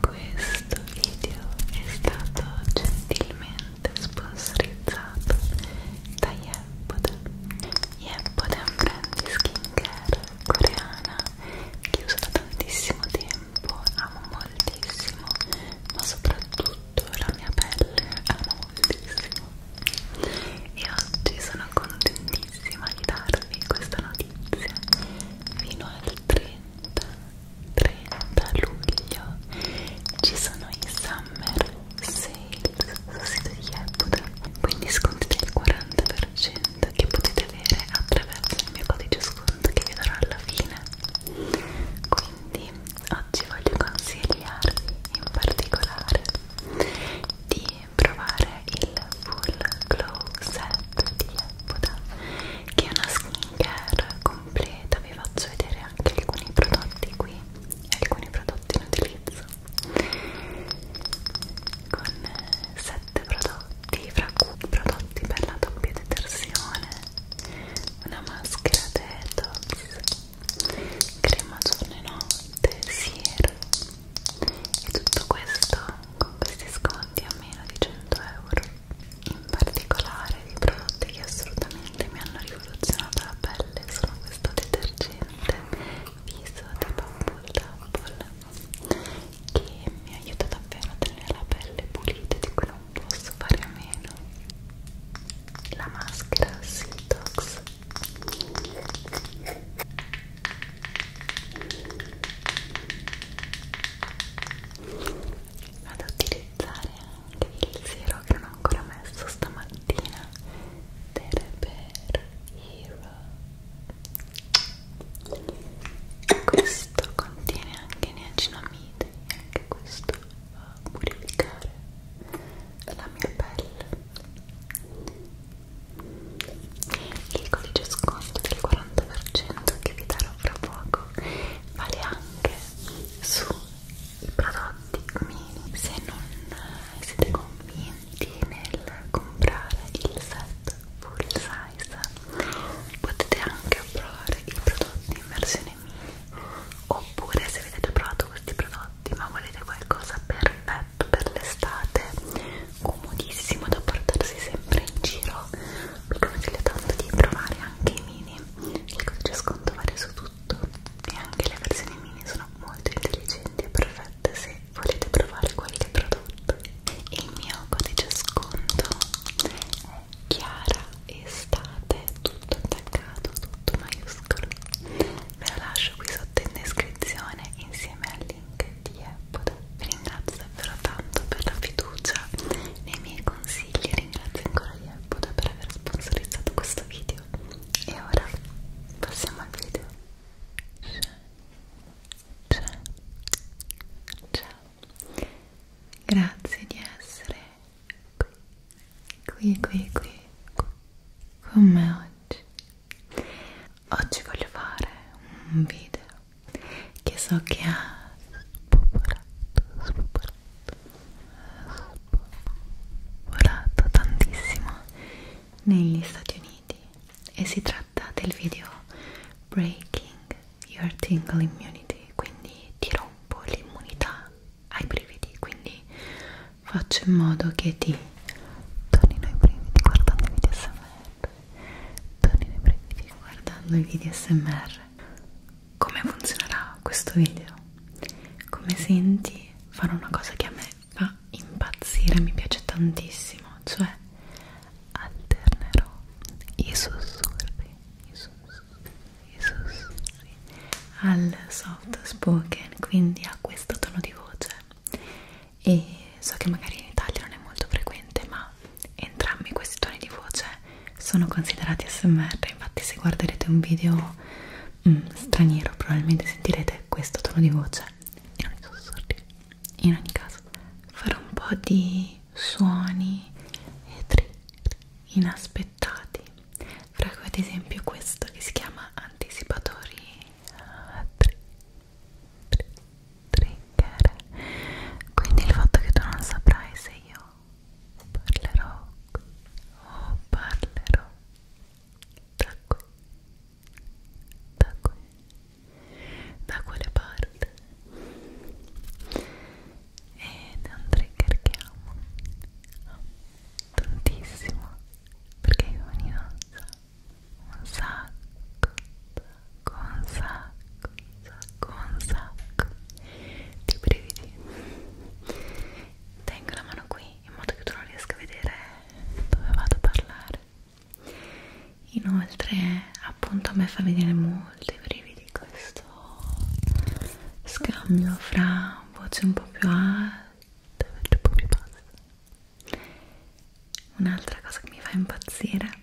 Questo video è stato gentilmente sponsorizzato da Yeboden. Yeboden brand skincare coreana che uso da tantissimo tempo, amo moltissimo, ma soprattutto la mia pelle amo moltissimo. E oggi sono contentissima di darvi questa notizia. Fino al 30 30 luglio ci sono i summer sales sul sito di Yebuda quindi sconti del 40% che potete avere attraverso il mio codice sconto che vi darò alla fine quindi oggi voglio consigliarvi in particolare di provare il full glow set di Yebuda che è una skincare con completa vi faccio vedere anche alcuni prodotti qui e alcuni prodotti in utilizzo con 7 eh, prodotti fra cui prodotti per la doppia detersione una maschera detox crema giorno e notte siero e tutto questo con questi sconti a meno di 100 euro in particolare dei prodotti che assolutamente mi hanno rivoluzionato la pelle sono questo detergente viso di Bumble Double che mi aiuta davvero a tenere la pelle pulita di cui non posso fare a meno la maschera Sitox ad utilizzare anche il siero che non ho ancora messo stamattina del Repair Hero questo contiene anche niacinamide e anche questo va a purificare la mia pelle il codice sconto del 40% che vi darò fra poco vale anche sui prodotti mini se non siete convinti nel comprare il set full size potete anche provare i prodotti in versione mini oppure se avete già provato questi prodotti ma volete qualcosa perfetto per l'estate comodissimo da portarsi sempre in giro vi consiglio tanto di provare anche i mini il codice sconto vale su tutto e anche le versioni mini sono molto intelligenti e perfette se volete provare qualche prodotto il mio codice sconto è chiara estate tutto attaccato tutto maiuscolo ve lo lascio qui sotto in descrizione insieme al link di Apple vi ringrazio davvero tanto per la fiducia nei miei consigli ringrazio ancora Yebuda per aver sponsorizzato questo video e ora passiamo al video ciao ciao, ciao. grazie di essere qui qui qui qui con me oggi oggi voglio fare un video che so che ha spopolato, spopolato, spopolato tantissimo negli Stati Uniti e si tratta del video Breaking Your Tingle Immunity, quindi ti rompo l'immunità ai brividi, quindi faccio in modo che ti tornino i brividi guardando i video smr tornino i brividi guardando i video smr come funzionerà questo video? Come senti, farò una cosa che a me fa impazzire, mi piace tantissimo, cioè alternerò i sussurri, i sussurri, i sussurri al soft spoken, quindi a questo tono di voce. E so che magari in Italia non è molto frequente, ma entrambi questi toni di voce sono considerati smr infatti se guarderete un video mm, straniero probabilmente sentirete questo tono di voce e non i sussurri in ogni caso farò un po' di suoni e trigger inaspettati fra cui ad esempio questo che si chiama anticipatori ah, trigger trigger quindi il fatto che tu non saprai se io parlerò o parlerò da qui da qui da quelle parti ed è un trigger che amo tantissimo perché io ogni danza un sacco, sacco, un sacco, un sacco, un sacco di brividi tengo la mano qui in modo che tu non riesca a vedere dove vado a parlare inoltre appunto a me fa venire molto i brividi questo scambio fra voce un po' più alte e voce un po' più basse un'altra cosa che mi fa impazzire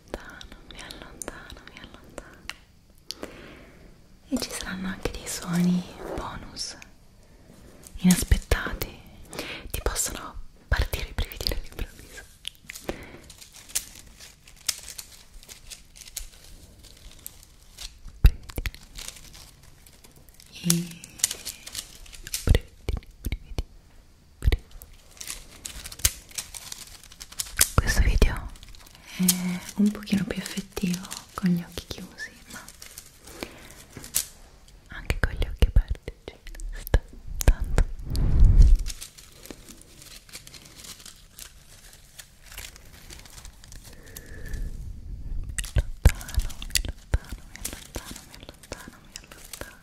allontano, mi allontano, mi allontano. E ci saranno anche dei suoni bonus inaspettati. Ti possono partire i brividi all'improvviso. Brividi. I brividi, brividi. Questo video è un pochino più effettivo con gli occhi chiusi, ma anche con gli occhi aperti ci cioè, sta tanto. Mi allontano, mi allontano, mi allontano, mi allontano, mi allontano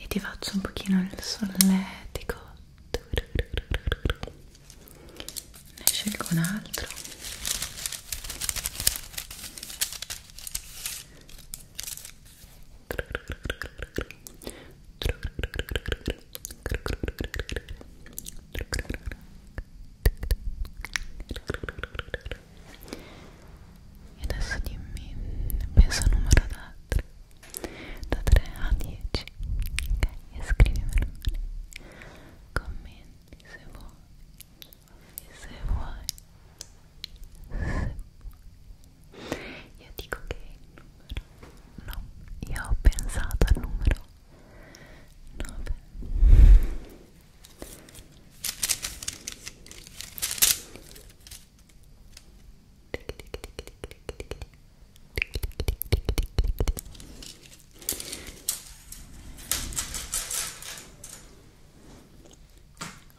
e ti faccio un pochino il solletico ne scelgo un altro e adesso dimmi penso al numero da, tre, da 3 a 10 ok e scrivimelo commenti se vuoi se vuoi se vuoi io dico che è il numero no io ho pensato al numero 9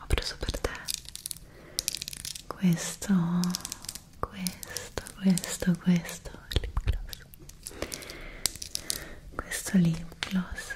ho preso per te questo, questo, questo, questo lip gloss. Questo lip gloss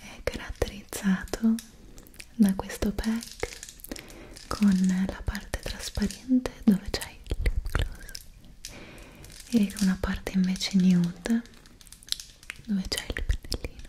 è caratterizzato da questo pack con la parte trasparente dove c'è il lip gloss e una parte invece nude dove c'è il pennellino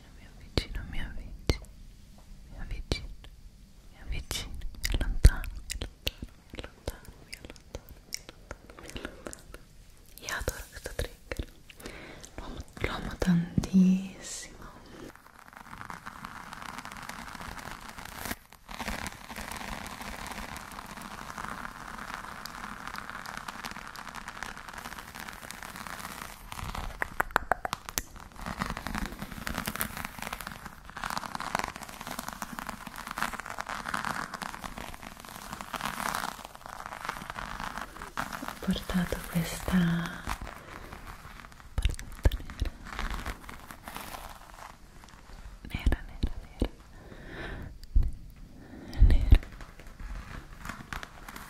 avvicino, mi avvicino, mi avvicino, mi avvicino, mi avvicino, mi allontano, mi allontano, mi allontano, mi allontano, mi allontano, mi allontano. Io adoro questo trigger, lo amo, lo amo tantissimo ho portato questa bardetta nera nera nera nera nera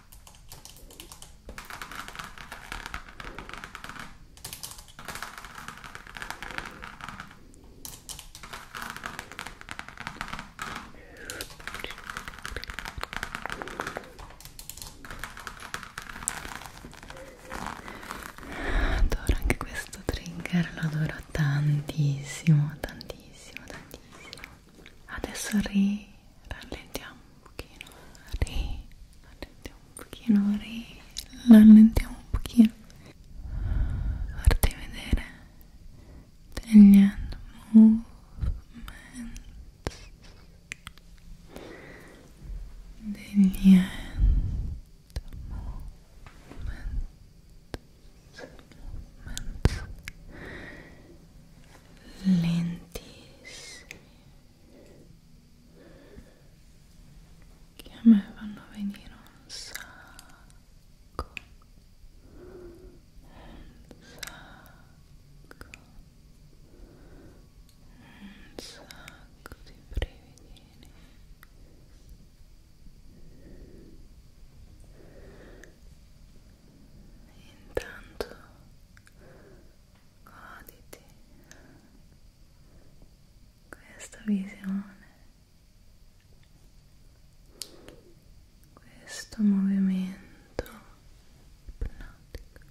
Adoro anche questo trigger, lo adoro tantissimo, tantissimo, tantissimo. adesso ri un pochino ri rallentiamo un pochino ri rallentiamo un pochino farti vedere movements lentissimi che a me vanno a venire un sacco un sacco un sacco di brividini intanto goditi questa visione questo movimento ipnotico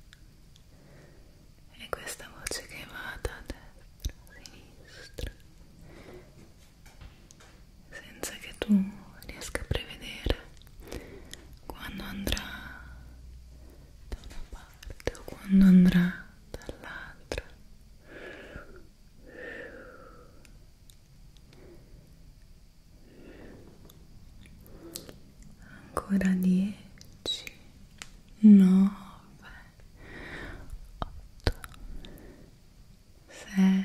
e questa voce che va da destra a sinistra senza che tu riesca a prevedere quando andrà da una parte o quando andrà dall'altra ancora dieci nove otto sette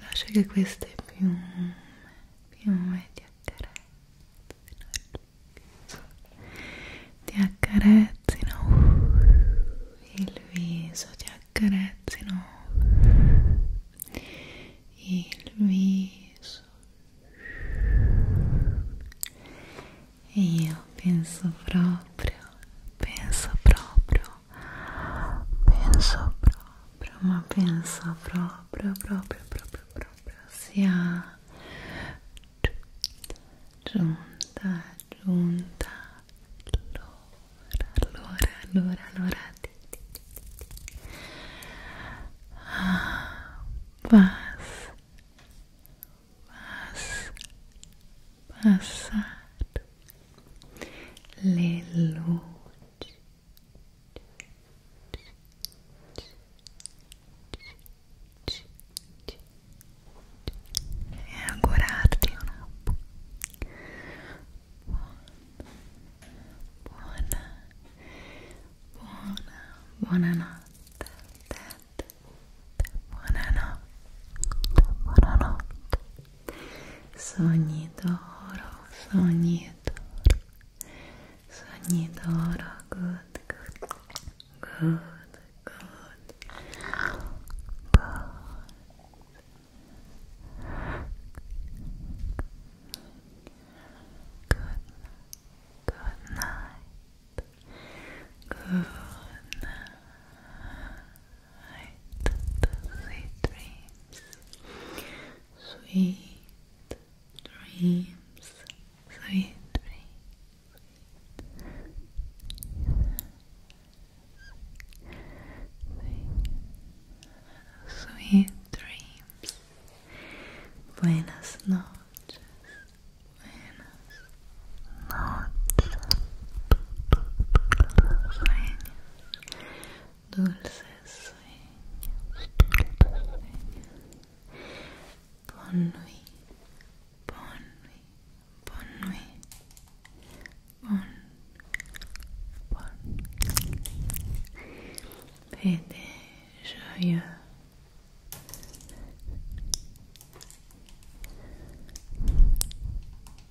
lascia che queste piume piume ti accarezzino ti accarezzino il viso ti accarezzino il viso e io penso proprio penso proprio penso proprio, ma penso proprio, proprio, proprio, proprio sia giunta, giunta allora, allora, allora, allora ah, vas vas passato le luci e augurarti una buona buona buona notte buonanotte buonanotte sogni d'oro, sogni d'oro, sogni d'oro, good, good, good, good, good, good, good night, good night. Good night sweet dreams, sweet dreams, sweet dreams, sweet dreams. Buenas noches, sueños, dulces nuit, bonne nuit, bon nuit, bon, joyeux.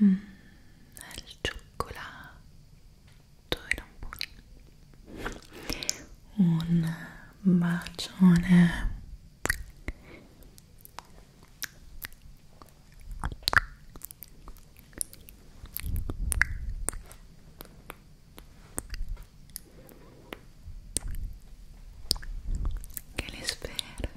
Mm, il cioccolato era buono. Un bacione. Che li spera.